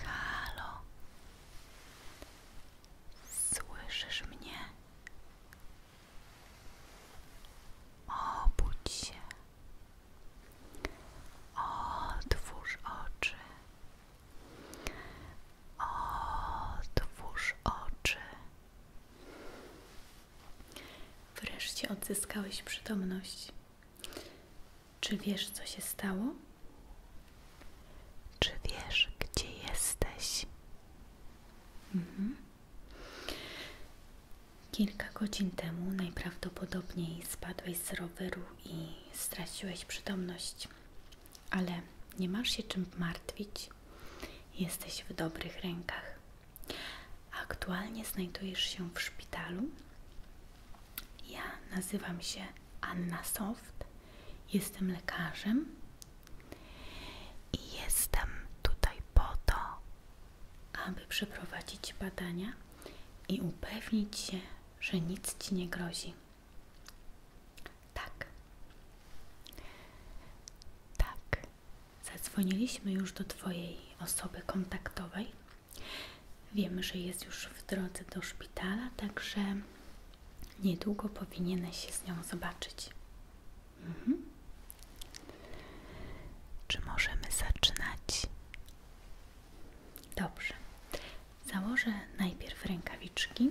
Halo, słyszysz mnie? Obudź się, otwórz oczy, otwórz oczy. Wreszcie odzyskałeś przytomność. Czy wiesz, co się stało? Czy wiesz, gdzie jesteś? Mhm. Kilka godzin temu najprawdopodobniej spadłeś z roweru i straciłeś przytomność, ale nie masz się czym martwić. Jesteś w dobrych rękach. Aktualnie znajdujesz się w szpitalu. Ja nazywam się Anna Soft, jestem lekarzem i jestem tutaj po to, aby przeprowadzić badania i upewnić się, że nic ci nie grozi. Tak. Tak. Zadzwoniliśmy już do Twojej osoby kontaktowej. Wiemy, że jest już w drodze do szpitala, także niedługo powinieneś się z nią zobaczyć. Mhm. Czy możemy zaczynać? Dobrze. Założę najpierw rękawiczki.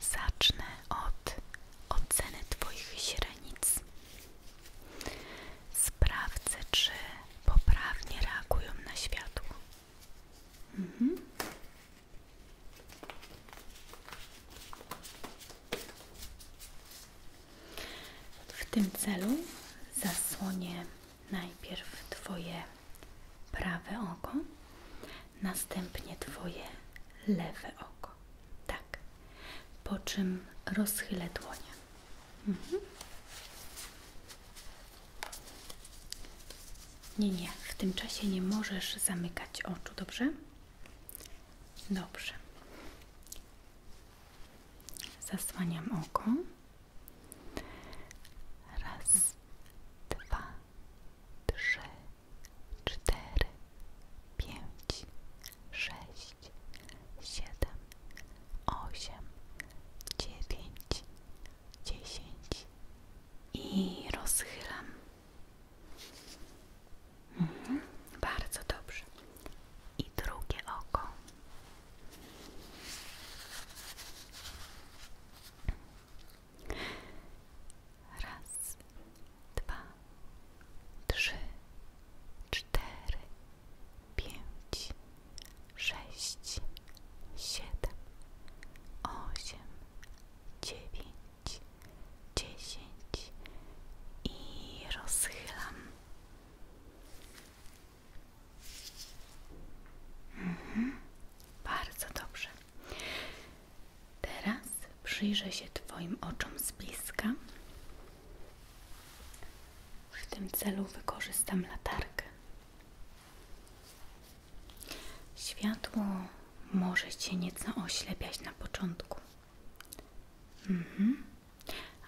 Zacznę od oceny Twoich źrenic. Sprawdzę, czy poprawnie reagują na światło. Mhm. W tym celu zasłonię najpierw Twoje prawe oko, następnie Twoje lewe oko. Tak. Po czym rozchylę dłonie. Mhm. Nie, nie, w tym czasie nie możesz zamykać oczu, dobrze? Dobrze. Zasłaniam oko. Raz, dwa, trzy, cztery, pięć, sześć, siedem, osiem, dziewięć, dziesięć i rozchylam. Mhm, bardzo dobrze. I drugie oko. Raz, dwa, trzy, cztery, pięć, sześć, siedem, osiem, dziewięć, dziesięć i rozchylam. Mhm. Bardzo dobrze. Teraz przyjrzę się Twoim oczom z bliska. W tym celu wykorzystam latarkę. Światło może się nieco oślepiać na początku. Mhm.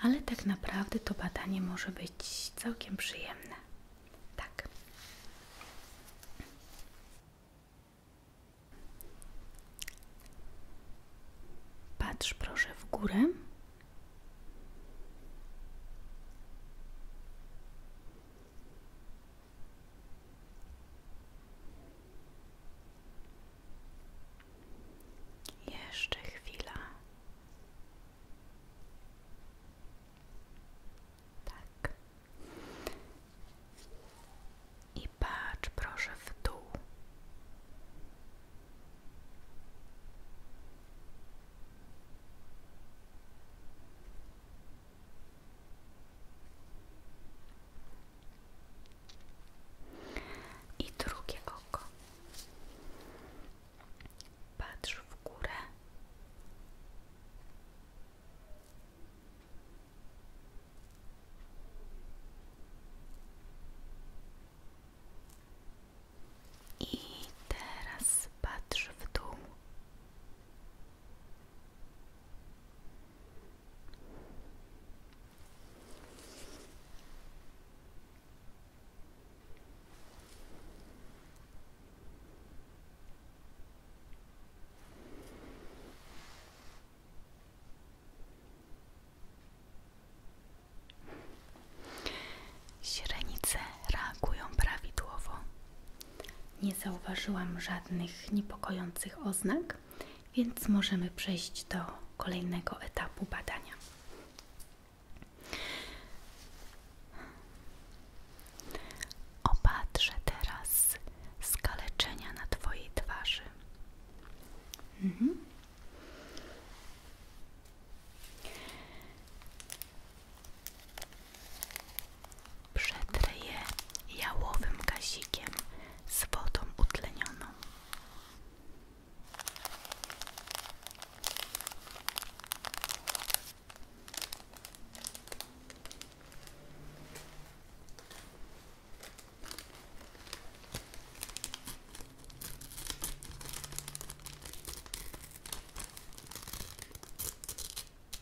Ale tak naprawdę to badanie może być całkiem przyjemne. Tak. Patrz proszę w górę. Jeszcze chwila. Tak. I patrz proszę w dół. I drugie oko. Patrz w górę. I teraz patrz w dół. Źrenice reagują prawidłowo nie zauważyłam żadnych niepokojących oznak, więc możemy przejść do kolejnego etapu badania. Opatrzę teraz skaleczenia na Twojej twarzy. Mhm. Przetrę je jałowym gazikiem z wodą utlenioną.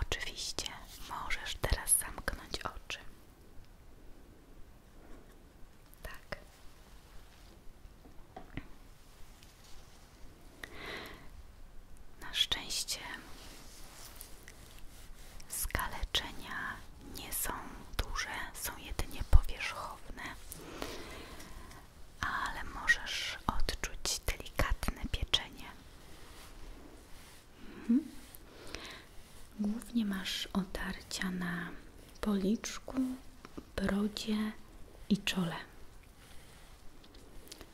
Oczywiście możesz teraz zamknąć oczy. Tak. Na szczęście skaleczenia nie są duże, są jedynie powierzchowne, ale możesz odczuć delikatne pieczenie. Mhm. Głównie masz otarcia na policzku, brodzie i czole.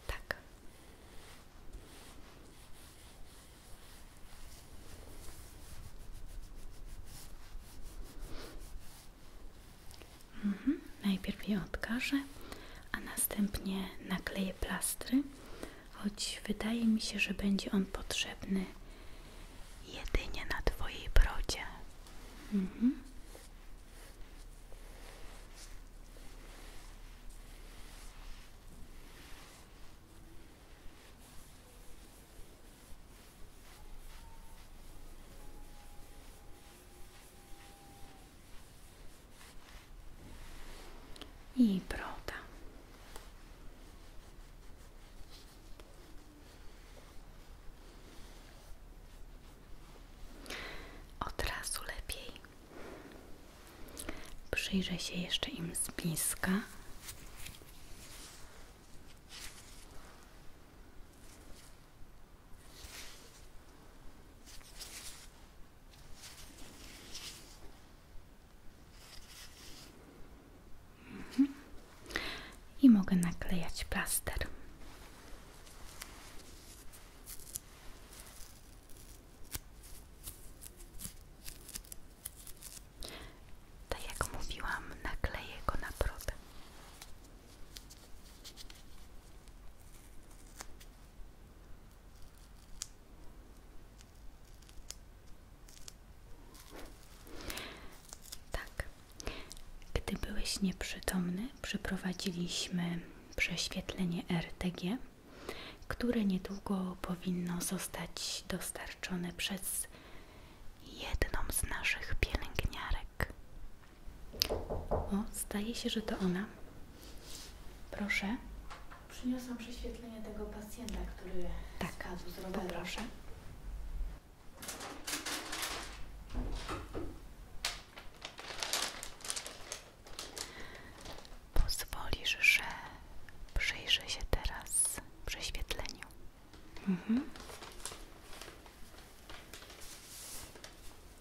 Tak. Mhm. Najpierw je odkażę, a następnie nakleję plastry, choć wydaje mi się, że będzie on potrzebny jedynie na Twojej brodzie. Mhm i broda. Od razu lepiej. Przyjrzę się jeszcze im z bliska. Mhm. I mogę naklejać plaster. Tak jak mówiłam, nakleję go na brodę. Tak. Gdy byłeś nieprzytomny, przeprowadziliśmy prześwietlenie RTG, które niedługo powinno zostać dostarczone przez jedną z naszych pielęgniarek. O, zdaje się, że to ona. Proszę. Przyniosłam prześwietlenie tego pacjenta, który tak, skazł z Proszę. Poproszę. Pozwolisz, że przyjrzę się teraz prześwietleniu. Mhm.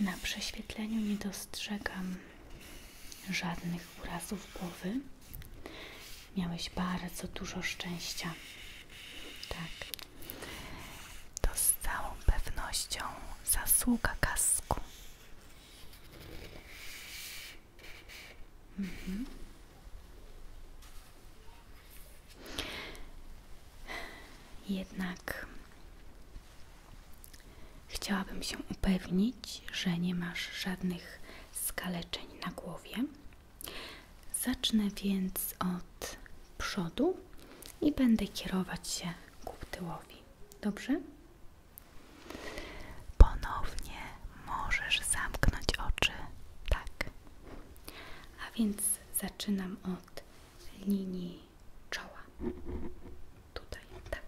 Na prześwietleniu nie dostrzegam żadnych urazów głowy. Miałeś bardzo dużo szczęścia. Tak. To z całą pewnością zasługa kasku. Mhm. Jednak chciałabym się upewnić, że nie masz żadnych skaleczeń na głowie. Zacznę więc od przodu i będę kierować się ku tyłowi. Dobrze? Ponownie możesz zamknąć oczy. Tak. A więc zaczynam od linii czoła. Tutaj, tak.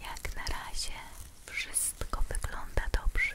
Jak na razie wszystko wygląda dobrze.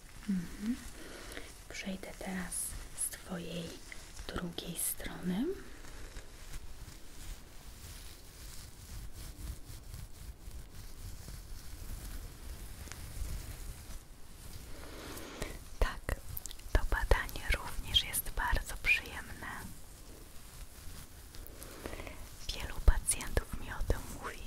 Mhm. Przejdę teraz z Twojej drugiej strony. Tak, to badanie również jest bardzo przyjemne. Wielu pacjentów mi o tym mówi.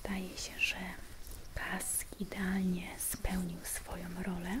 Zdaje się, że pas idealnie spełnił swoją rolę.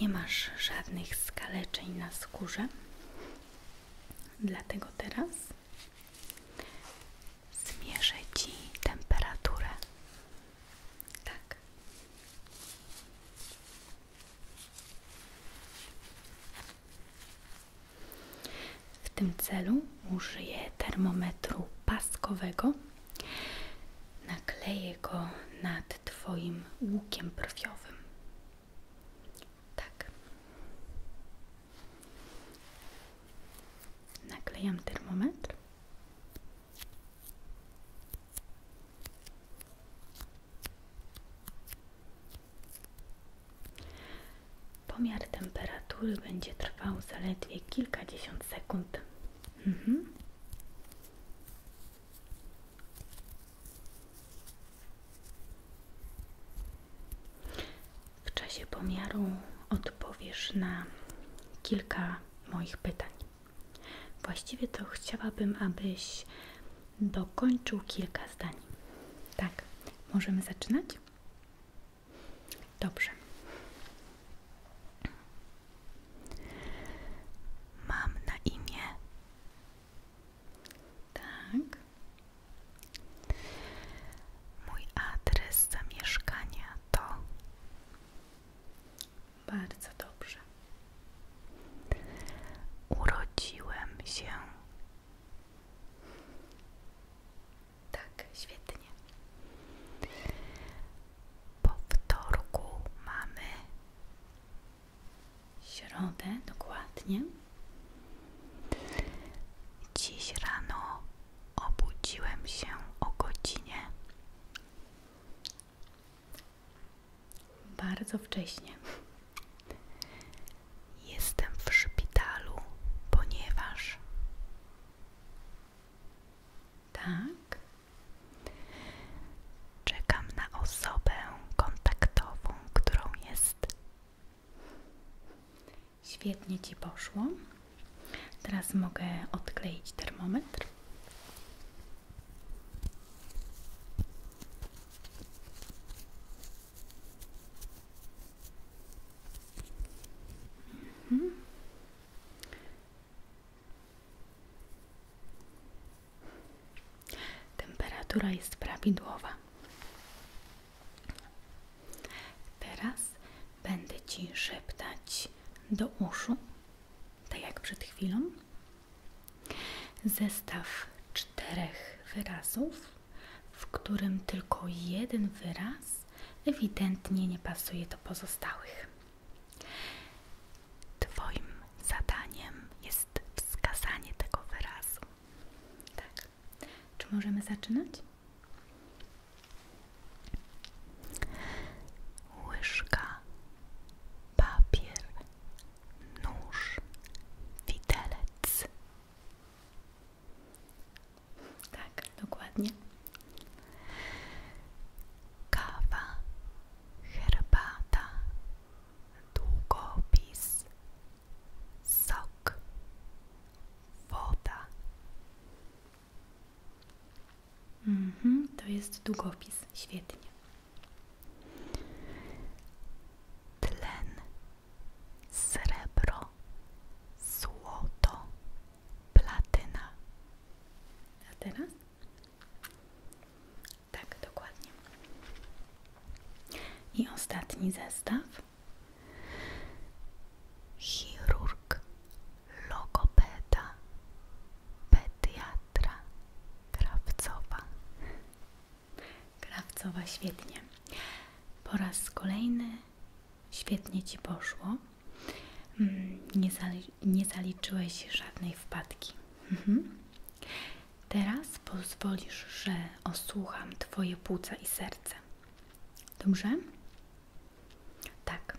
Nie masz żadnych skaleczeń na skórze, dlatego teraz zmierzę Ci temperaturę. Tak. W tym celu użyję termometru paskowego. Nakleję go nad Twoim łukiem brwiowym. Tak. Naklejam termometr. Pomiar temperatury będzie trwał zaledwie kilkadziesiąt sekund. Mhm. W czasie pomiaru odpowiesz na kilka moich pytań. Właściwie to chciałabym, abyś dokończył kilka zdań. Tak, możemy zaczynać? Dobrze. Mam na imię. Tak. Mój adres zamieszkania to bardzo dobrze. Urodziłem się. Tak, świetnie. Po wtorku mamy środę, dokładnie. Dziś rano obudziłem się o godzinie bardzo wcześnie. Jestem w szpitalu, ponieważ. Tak. Czekam na osobę kontaktową, którą jest. Świetnie ci poszło. Teraz mogę odkleić termometr. Mhm. Temperatura jest prawidłowa. Teraz będę Ci szeptać do uszu, tak jak przed chwilą, Zestaw czterech wyrazów, w którym tylko jeden wyraz ewidentnie nie pasuje do pozostałych. Twoim zadaniem jest wskazanie tego wyrazu. Tak. Czy możemy zaczynać? Łyżka, papier, nóż, widelec. Tak, dokładnie. Kawa, herbata, długopis, sok, woda. Mhm, to jest długopis, świetnie. Tlen, srebro, złoto, platyna. A teraz? Tak, dokładnie. I ostatni zestaw. Chirurg, logopeda, pediatra. Sandra Krawcowa. Krawcowa, świetnie. Po raz kolejny świetnie Ci poszło. Mm, nie, zaliczyłeś żadnej wpadki. Mhm. Teraz pozwolisz, że osłucham Twoje płuca i serce. Dobrze? Tak.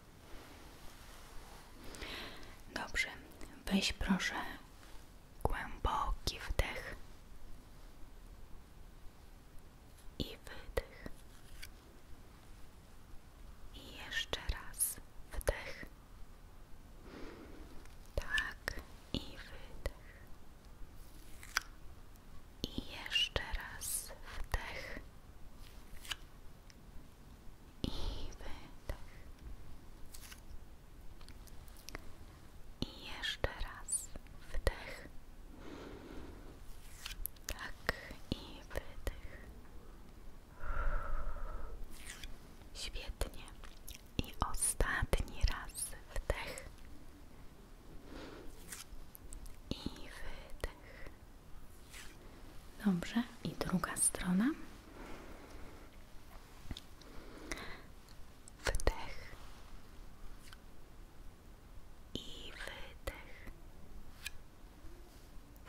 Dobrze, weź proszę głęboki wdech i wydech. I jeszcze raz wdech. Tak i wydech. I jeszcze raz wdech i wydech. I jeszcze raz wdech. Tak i wydech. Świetnie. I ostatni raz wdech. I wydech. Dobrze, i druga strona. Wdech i wydech.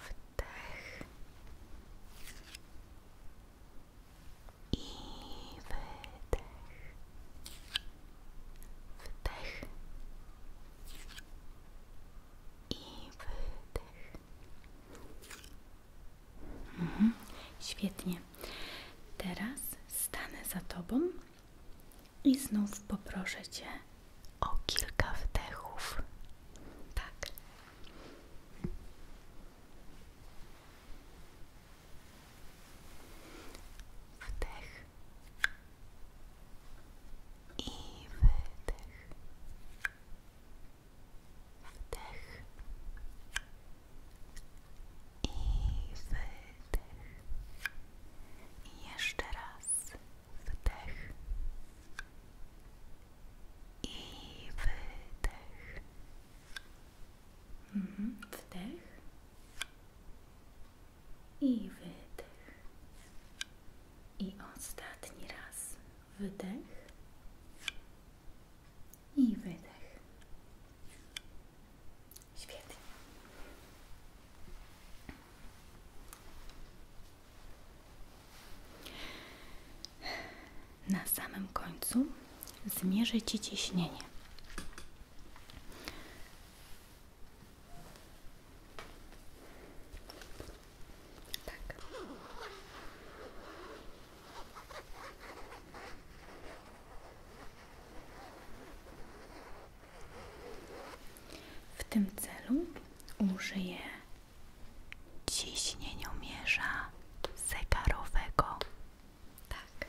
Wdech i wydech. Wdech i wydech. Mhm. świetnie. Teraz stanę za tobą i znów poproszę cię o kilka wdechów. Tak. Wdech i wydech. Wdech i wydech. jeszcze raz wdech i wydech. Wdech i wydech. I ostatni raz wydech i wydech. Świetnie. Na samym końcu zmierzycie ciśnienie. Tak. W tym celu użyję ciśnieniomierza zegarowego. Tak.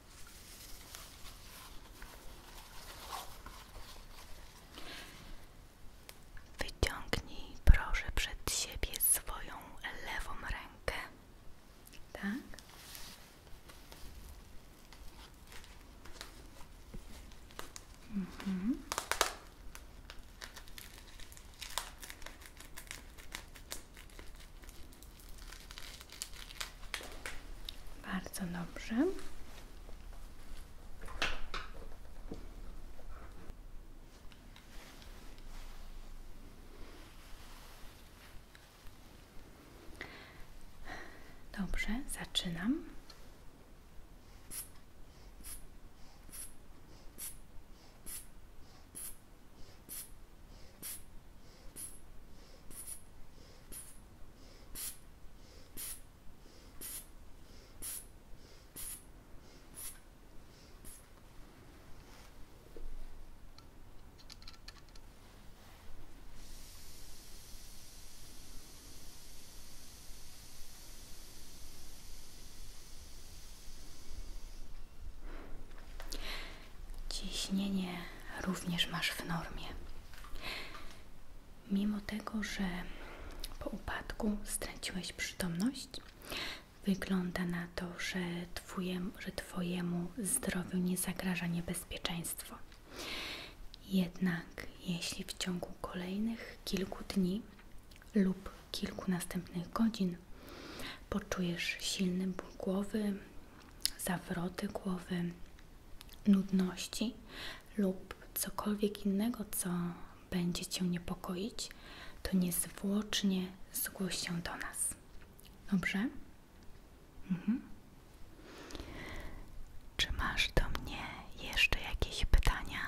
Wyciągnij proszę przed siebie swoją lewą rękę. Tak? Mhm. Bardzo dobrze. Dobrze, zaczynam. Ciśnienie również masz w normie mimo tego, że po upadku straciłeś przytomność, wygląda na to, że twojemu, że twojemu zdrowiu nie zagraża niebezpieczeństwo. Jednak jeśli w ciągu kolejnych kilku dni lub kilku następnych godzin poczujesz silny ból głowy, zawroty głowy, nudności lub cokolwiek innego, co będzie Cię niepokoić, to niezwłocznie zgłoś się do nas. Dobrze? Mhm. Czy masz do mnie jeszcze jakieś pytania?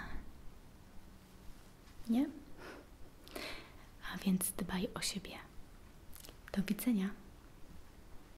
Nie? A więc dbaj o siebie. Do widzenia.